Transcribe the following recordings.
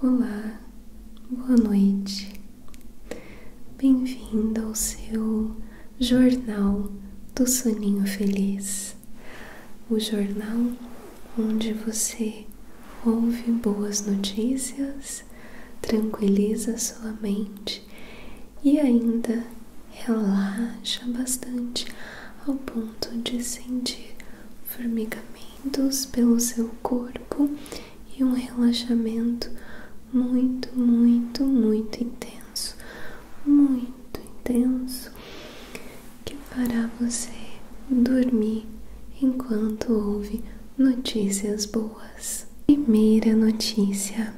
Olá, boa noite. Bem-vindo ao seu Jornal do Soninho Feliz o jornal onde você ouve boas notícias, tranquiliza sua mente e ainda relaxa bastante ao ponto de sentir formigamento pelo seu corpo e um relaxamento muito, muito, muito intenso, muito intenso, que fará você dormir enquanto ouve notícias boas. Primeira notícia: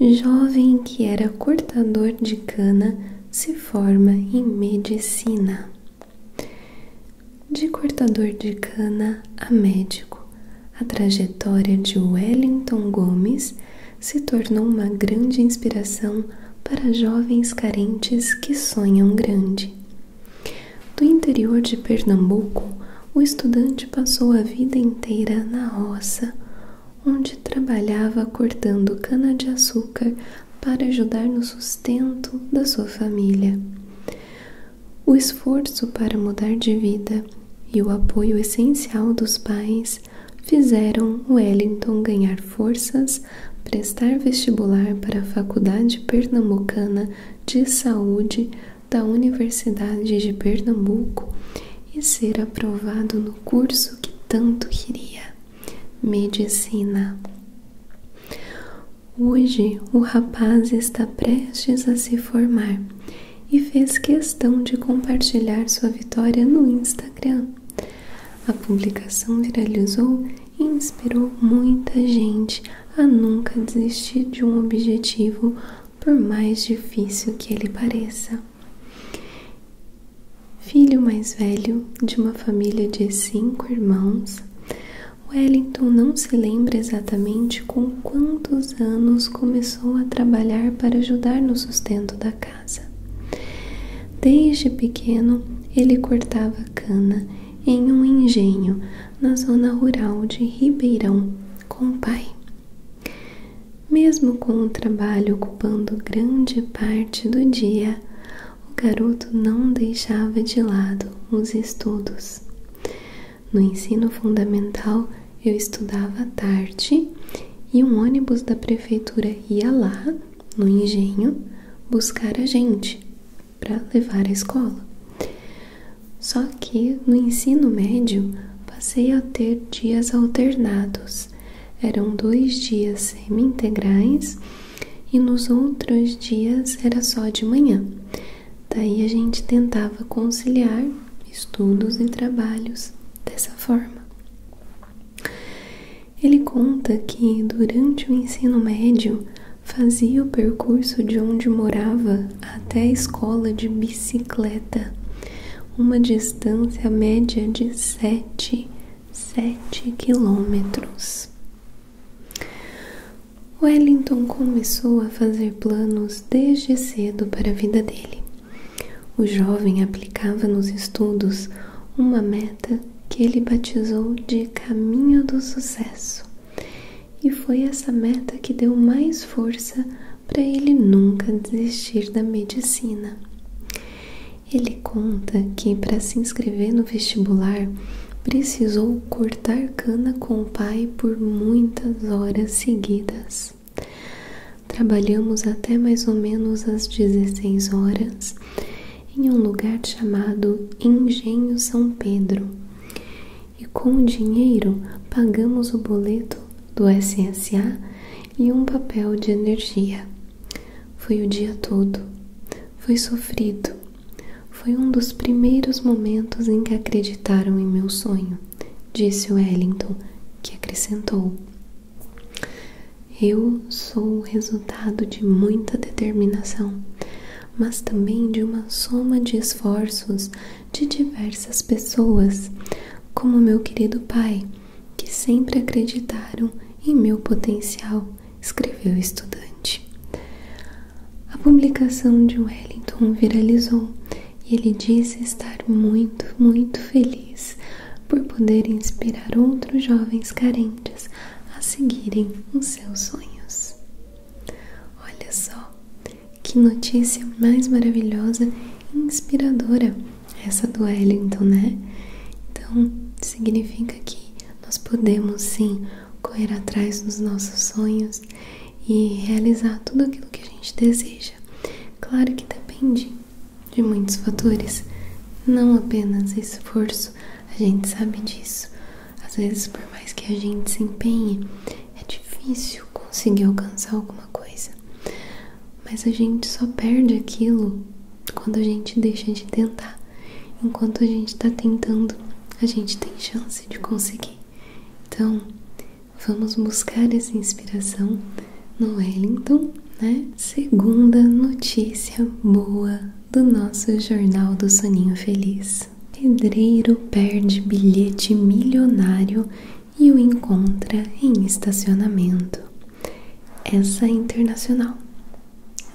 jovem que era cortador de cana se forma em medicina. De cortador de cana a médico, a trajetória de Wellington Gomes se tornou uma grande inspiração para jovens carentes que sonham grande. Do interior de Pernambuco, o estudante passou a vida inteira na roça, onde trabalhava cortando cana-de-açúcar para ajudar no sustento da sua família. O esforço para mudar de vida e o apoio essencial dos pais fizeram Wellington ganhar forças, prestar vestibular para a Faculdade Pernambucana de Saúde da Universidade de Pernambuco e ser aprovado no curso que tanto queria medicina. Hoje o rapaz está prestes a se formar e fez questão de compartilhar sua vitória no Instagram. A publicação viralizou e inspirou muita gente a nunca desistir de um objetivo, por mais difícil que ele pareça. Filho mais velho de uma família de cinco irmãos, Wellington não se lembra exatamente com quantos anos começou a trabalhar para ajudar no sustento da casa. Desde pequeno, ele cortava cana em um engenho na zona rural de Ribeirão com o pai. Mesmo com o trabalho ocupando grande parte do dia, o garoto não deixava de lado os estudos. No ensino fundamental, eu estudava à tarde e um ônibus da prefeitura ia lá, no engenho, buscar a gente para levar à escola. Só que no ensino médio, passei a ter dias alternados eram dois dias semi-integrais e nos outros dias era só de manhã. Daí a gente tentava conciliar estudos e trabalhos dessa forma. Ele conta que durante o ensino médio fazia o percurso de onde morava até a escola de bicicleta, uma distância média de 7 sete quilômetros. Wellington começou a fazer planos desde cedo para a vida dele. O jovem aplicava nos estudos uma meta que ele batizou de caminho do sucesso. E foi essa meta que deu mais força para ele nunca desistir da medicina. Ele conta que para se inscrever no vestibular precisou cortar cana com o pai por muitas horas seguidas. Trabalhamos até mais ou menos às 16 horas em um lugar chamado Engenho São Pedro. E com o dinheiro pagamos o boleto do SSA e um papel de energia. Foi o dia todo, foi sofrido, foi um dos primeiros momentos em que acreditaram em meu sonho, disse Wellington, que acrescentou: Eu sou o resultado de muita determinação, mas também de uma soma de esforços de diversas pessoas, como meu querido pai que sempre acreditaram em meu potencial, escreveu o estudante. A publicação de Wellington viralizou e ele disse estar muito, muito feliz por poder inspirar outros jovens carentes a seguirem os seus sonhos. Olha só, que notícia mais maravilhosa e inspiradora! essa do então, Wellington, né? Então, significa que nós podemos sim correr atrás dos nossos sonhos e realizar tudo aquilo que a gente deseja. Claro que depende de muitos fatores, não apenas esforço, a gente sabe disso. Às vezes, por mais que a gente se empenhe, é difícil conseguir alcançar alguma coisa mas a gente só perde aquilo quando a gente deixa de tentar. Enquanto a gente está tentando, a gente tem chance de conseguir. Então, vamos buscar essa inspiração no Wellington, né? Segunda notícia boa do nosso Jornal do Soninho Feliz. Pedreiro perde bilhete milionário e o encontra em estacionamento. Essa é internacional.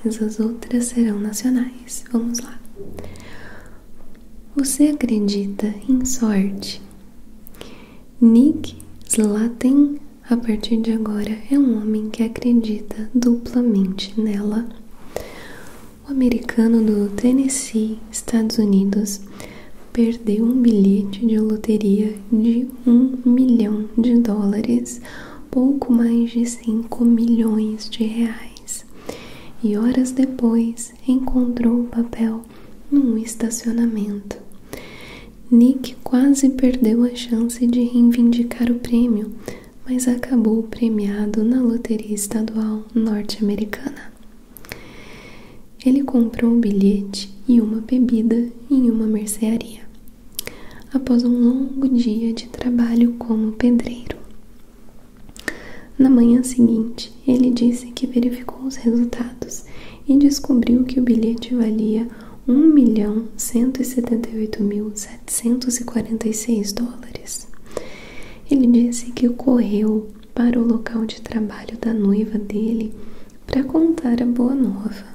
Essas outras serão nacionais. Vamos lá. Você acredita em sorte? Nick Slaten, a partir de agora, é um homem que acredita duplamente nela. O americano do Tennessee, Estados Unidos, perdeu um bilhete de loteria de um milhão de dólares, pouco mais de 5 milhões de reais, e horas depois encontrou o papel num estacionamento. Nick quase perdeu a chance de reivindicar o prêmio, mas acabou premiado na loteria estadual norte-americana. Ele comprou um bilhete e uma bebida em uma mercearia, após um longo dia de trabalho como pedreiro. Na manhã seguinte, ele disse que verificou os resultados e descobriu que o bilhete valia 1.178.746 dólares. Ele disse que correu para o local de trabalho da noiva dele para contar a boa nova.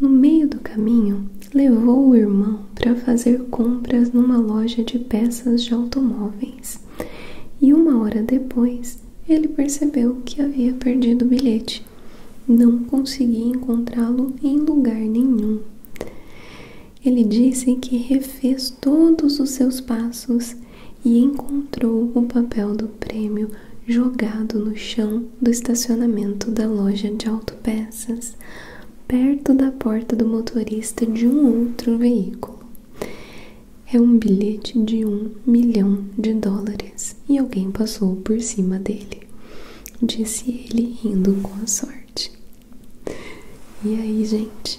No meio do caminho, levou o irmão para fazer compras numa loja de peças de automóveis e uma hora depois ele percebeu que havia perdido o bilhete. Não conseguia encontrá-lo em lugar nenhum. Ele disse que refez todos os seus passos e encontrou o papel do prêmio jogado no chão do estacionamento da loja de autopeças, perto da porta do motorista de um outro veículo. É um bilhete de um milhão de dólares e alguém passou por cima dele, disse ele rindo com a sorte. E aí, gente,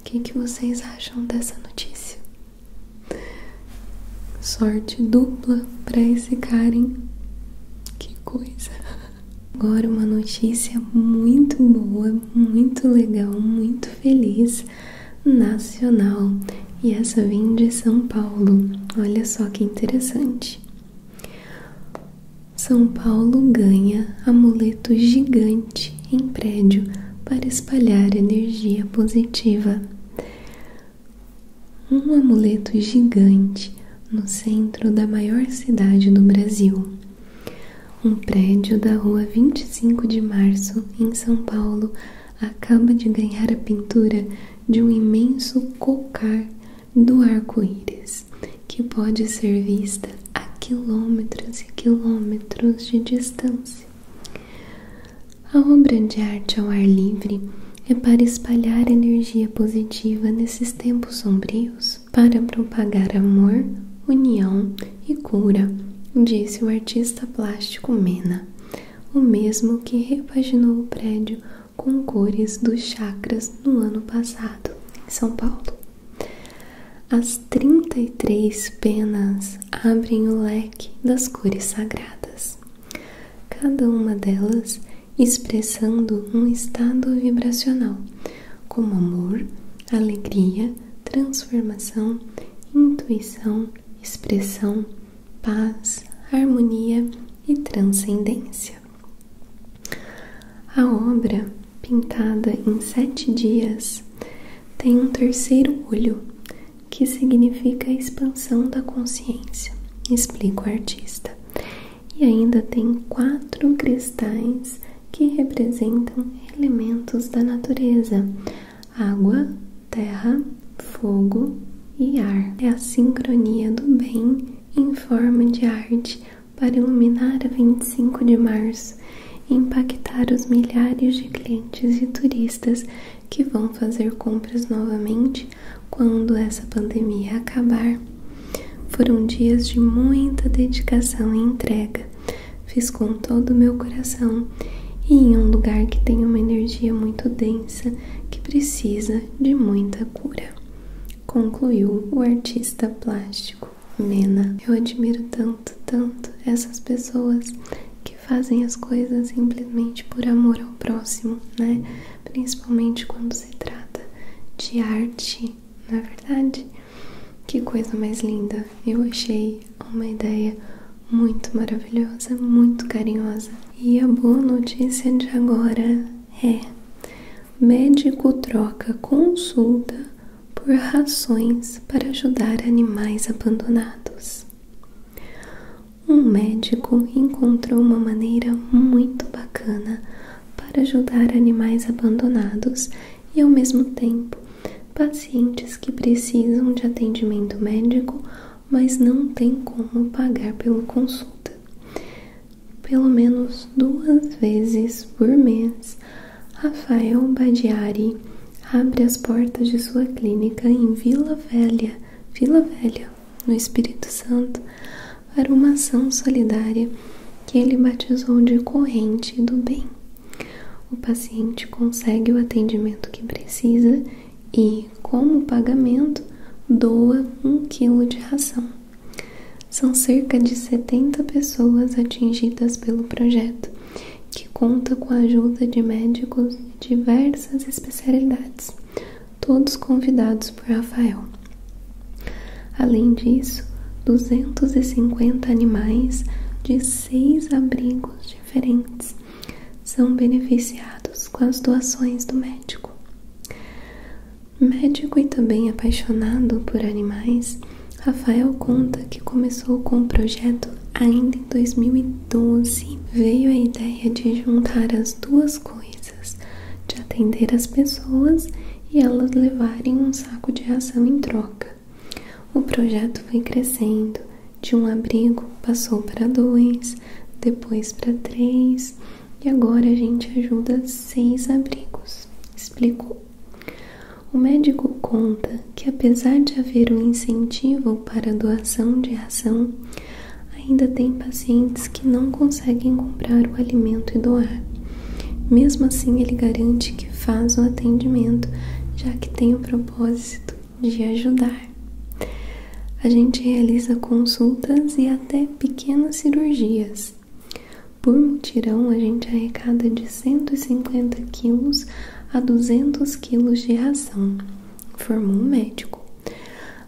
o que, que vocês acham dessa notícia? Sorte dupla para esse cara, hein? Que coisa! Agora uma notícia muito boa, muito legal, muito feliz, nacional. E essa vem de São Paulo. Olha só que interessante. São Paulo ganha amuleto gigante em prédio para espalhar energia positiva. Um amuleto gigante no centro da maior cidade do Brasil. Um prédio da rua 25 de março, em São Paulo, acaba de ganhar a pintura de um imenso cocar do arco-íris, que pode ser vista a quilômetros e quilômetros de distância. A obra de arte ao ar livre é para espalhar energia positiva nesses tempos sombrios, para propagar amor, união e cura, disse o artista plástico Mena, o mesmo que repaginou o prédio com cores dos chakras no ano passado, em São Paulo. As 33 penas abrem o leque das cores sagradas, cada uma delas expressando um estado vibracional, como amor, alegria, transformação, intuição, expressão, paz, harmonia e transcendência. A obra pintada em sete dias tem um terceiro olho, que significa expansão da consciência, explica o artista. E ainda tem quatro cristais que representam elementos da natureza: água, terra, fogo e ar. É a sincronia do bem em forma de arte para iluminar a 25 de março impactar os milhares de clientes e turistas que vão fazer compras novamente quando essa pandemia acabar. Foram dias de muita dedicação e entrega. Fiz com todo o meu coração e em um lugar que tem uma energia muito densa que precisa de muita cura, concluiu o artista plástico. Mena. Eu admiro tanto, tanto essas pessoas que fazem as coisas simplesmente por amor ao próximo, né? Principalmente quando se trata de arte, na é verdade. Que coisa mais linda! Eu achei uma ideia muito maravilhosa, muito carinhosa. E a boa notícia de agora é: médico troca consulta por rações para ajudar animais abandonados. Um médico encontrou uma maneira muito bacana para ajudar animais abandonados e, ao mesmo tempo, pacientes que precisam de atendimento médico, mas não têm como pagar pela consulta. Pelo menos duas vezes por mês, Rafael Badiari abre as portas de sua clínica em Vila Velha, Vila Velha, no Espírito Santo, para uma ação solidária que ele batizou de corrente do bem. O paciente consegue o atendimento que precisa e, como pagamento, doa um quilo de ração. São cerca de 70 pessoas atingidas pelo projeto, que conta com a ajuda de médicos de diversas especialidades, todos convidados por Rafael. Além disso, 250 animais de seis abrigos diferentes são beneficiados com as doações do médico. Médico e também apaixonado por animais, Rafael conta que começou com o projeto ainda em 2012. Veio a ideia de juntar as duas coisas, de atender as pessoas e elas levarem um saco de ação em troca. O projeto foi crescendo, de um abrigo passou para dois, depois para três e agora a gente ajuda seis abrigos, explicou o médico conta que, apesar de haver um incentivo para a doação de ração, ainda tem pacientes que não conseguem comprar o alimento e doar. Mesmo assim, ele garante que faz o atendimento, já que tem o propósito de ajudar. A gente realiza consultas e até pequenas cirurgias. Por mutirão, a gente arrecada de 150 quilos a 200 quilos de ração, formou o médico.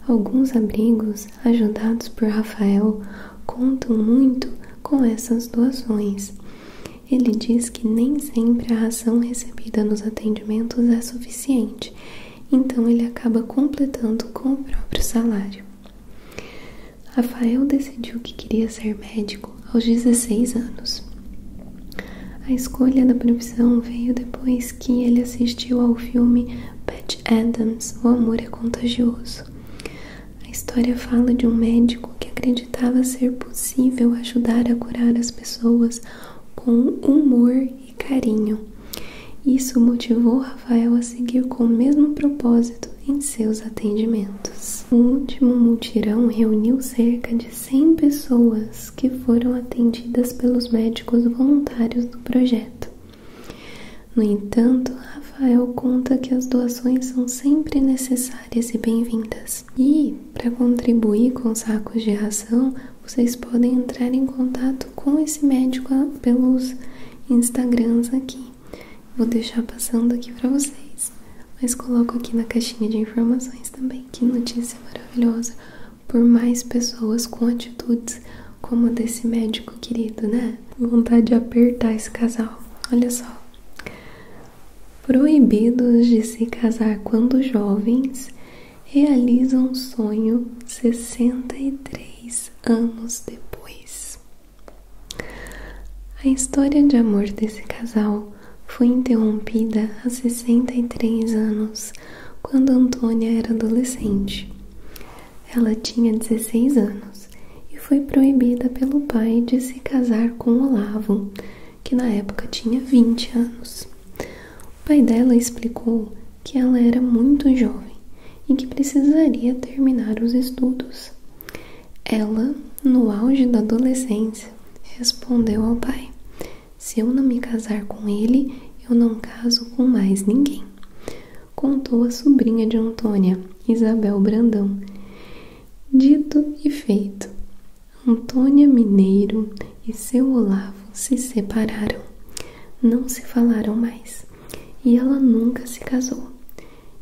Alguns abrigos, ajudados por Rafael, contam muito com essas doações. Ele diz que nem sempre a ração recebida nos atendimentos é suficiente, então ele acaba completando com o próprio salário. Rafael decidiu que queria ser médico aos 16 anos. A escolha da profissão veio depois que ele assistiu ao filme Pat Adams O Amor é Contagioso. A história fala de um médico que acreditava ser possível ajudar a curar as pessoas com humor e carinho. Isso motivou Rafael a seguir com o mesmo propósito em seus atendimentos. O último multirão reuniu cerca de 100 pessoas que foram atendidas pelos médicos voluntários do projeto. No entanto, Rafael conta que as doações são sempre necessárias e bem-vindas. E, para contribuir com sacos de ração, vocês podem entrar em contato com esse médico pelos Instagrams aqui. Vou deixar passando aqui para vocês, mas coloco aqui na caixinha de informações também. Que notícia maravilhosa por mais pessoas com atitudes como a desse médico querido, né? Vontade de apertar esse casal. Olha só. Proibidos de se casar quando jovens, realizam um sonho 63 anos depois. A história de amor desse casal foi interrompida há 63 anos, quando Antônia era adolescente. Ela tinha 16 anos e foi proibida pelo pai de se casar com Olavo, que na época tinha 20 anos. O pai dela explicou que ela era muito jovem e que precisaria terminar os estudos. Ela, no auge da adolescência, respondeu ao pai: Se eu não me casar com ele, eu não caso com mais ninguém. Contou a sobrinha de Antônia, Isabel Brandão. Dito e feito, Antônia Mineiro e seu Olavo se separaram. Não se falaram mais e ela nunca se casou.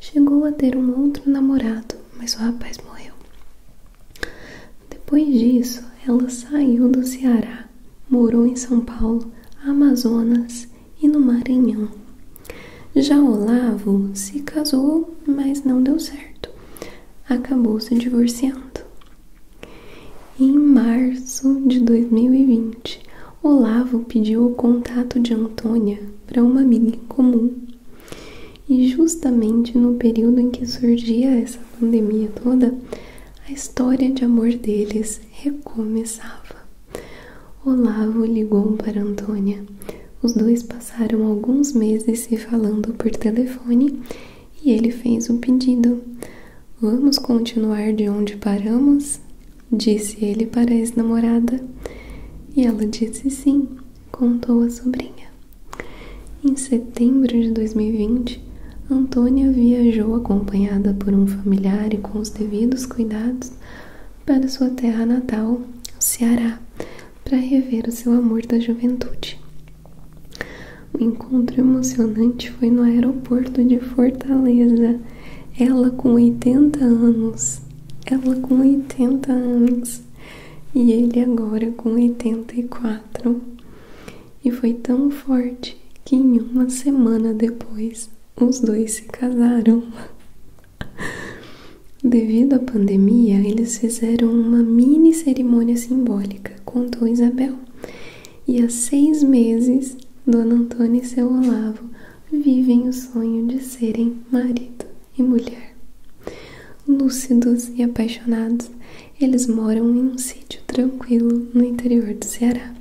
Chegou a ter um outro namorado, mas o rapaz morreu. Depois disso, ela saiu do Ceará, morou em São Paulo, Amazonas e no Maranhão. Já Olavo se casou, mas não deu certo. Acabou se divorciando. Em março de 2020, Olavo pediu o contato de Antônia para uma amiga em comum. E justamente no período em que surgia essa pandemia toda, a história de amor deles recomeçava. Olavo ligou para Antônia. Os dois passaram alguns meses se falando por telefone e ele fez o um pedido. Vamos continuar de onde paramos? Disse ele para a ex-namorada. E ela disse sim, contou a sobrinha. Em setembro de 2020, Antônia viajou acompanhada por um familiar e com os devidos cuidados para sua terra natal, o Ceará, para rever o seu amor da juventude. O encontro emocionante foi no aeroporto de Fortaleza, ela com 80 anos, ela com 80 anos e ele agora com 84. E foi tão forte que em uma semana depois os dois se casaram. Devido à pandemia, eles fizeram uma mini cerimônia simbólica, contou Isabel e há seis meses Dona Antônia e seu Olavo vivem o sonho de serem marido e mulher. Lúcidos e apaixonados, eles moram em um sítio tranquilo no interior do Ceará.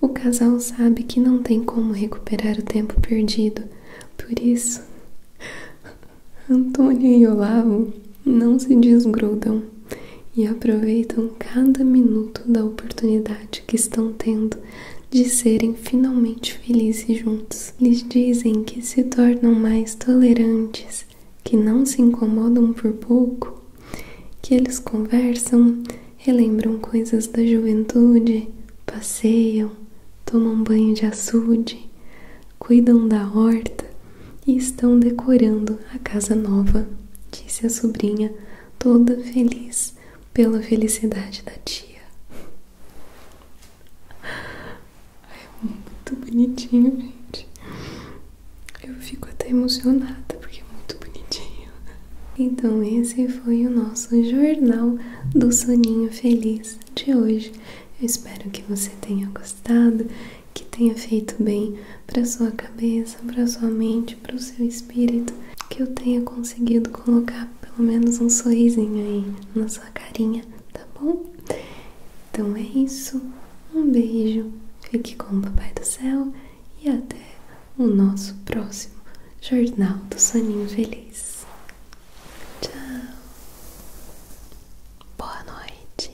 O casal sabe que não tem como recuperar o tempo perdido, por isso, Antônio e Olavo não se desgrudam e aproveitam cada minuto da oportunidade que estão tendo de serem finalmente felizes juntos. Lhes dizem que se tornam mais tolerantes, que não se incomodam por pouco, que eles conversam, relembram coisas da juventude, passeiam, tomam banho de açude, cuidam da horta e estão decorando a casa nova, disse a sobrinha, toda feliz pela felicidade da tia. É muito bonitinho, gente. Eu fico até emocionada porque é muito bonitinho. Então, esse foi o nosso jornal do Soninho Feliz de hoje. Eu espero que você tenha gostado que tenha feito bem para sua cabeça, para sua mente, para o seu espírito, que eu tenha conseguido colocar pelo menos um sorrisinho aí na sua carinha, tá bom? Então é isso. Um beijo. Fique com o papai do céu e até o nosso próximo Jornal do Soninho Feliz. Tchau. Boa noite.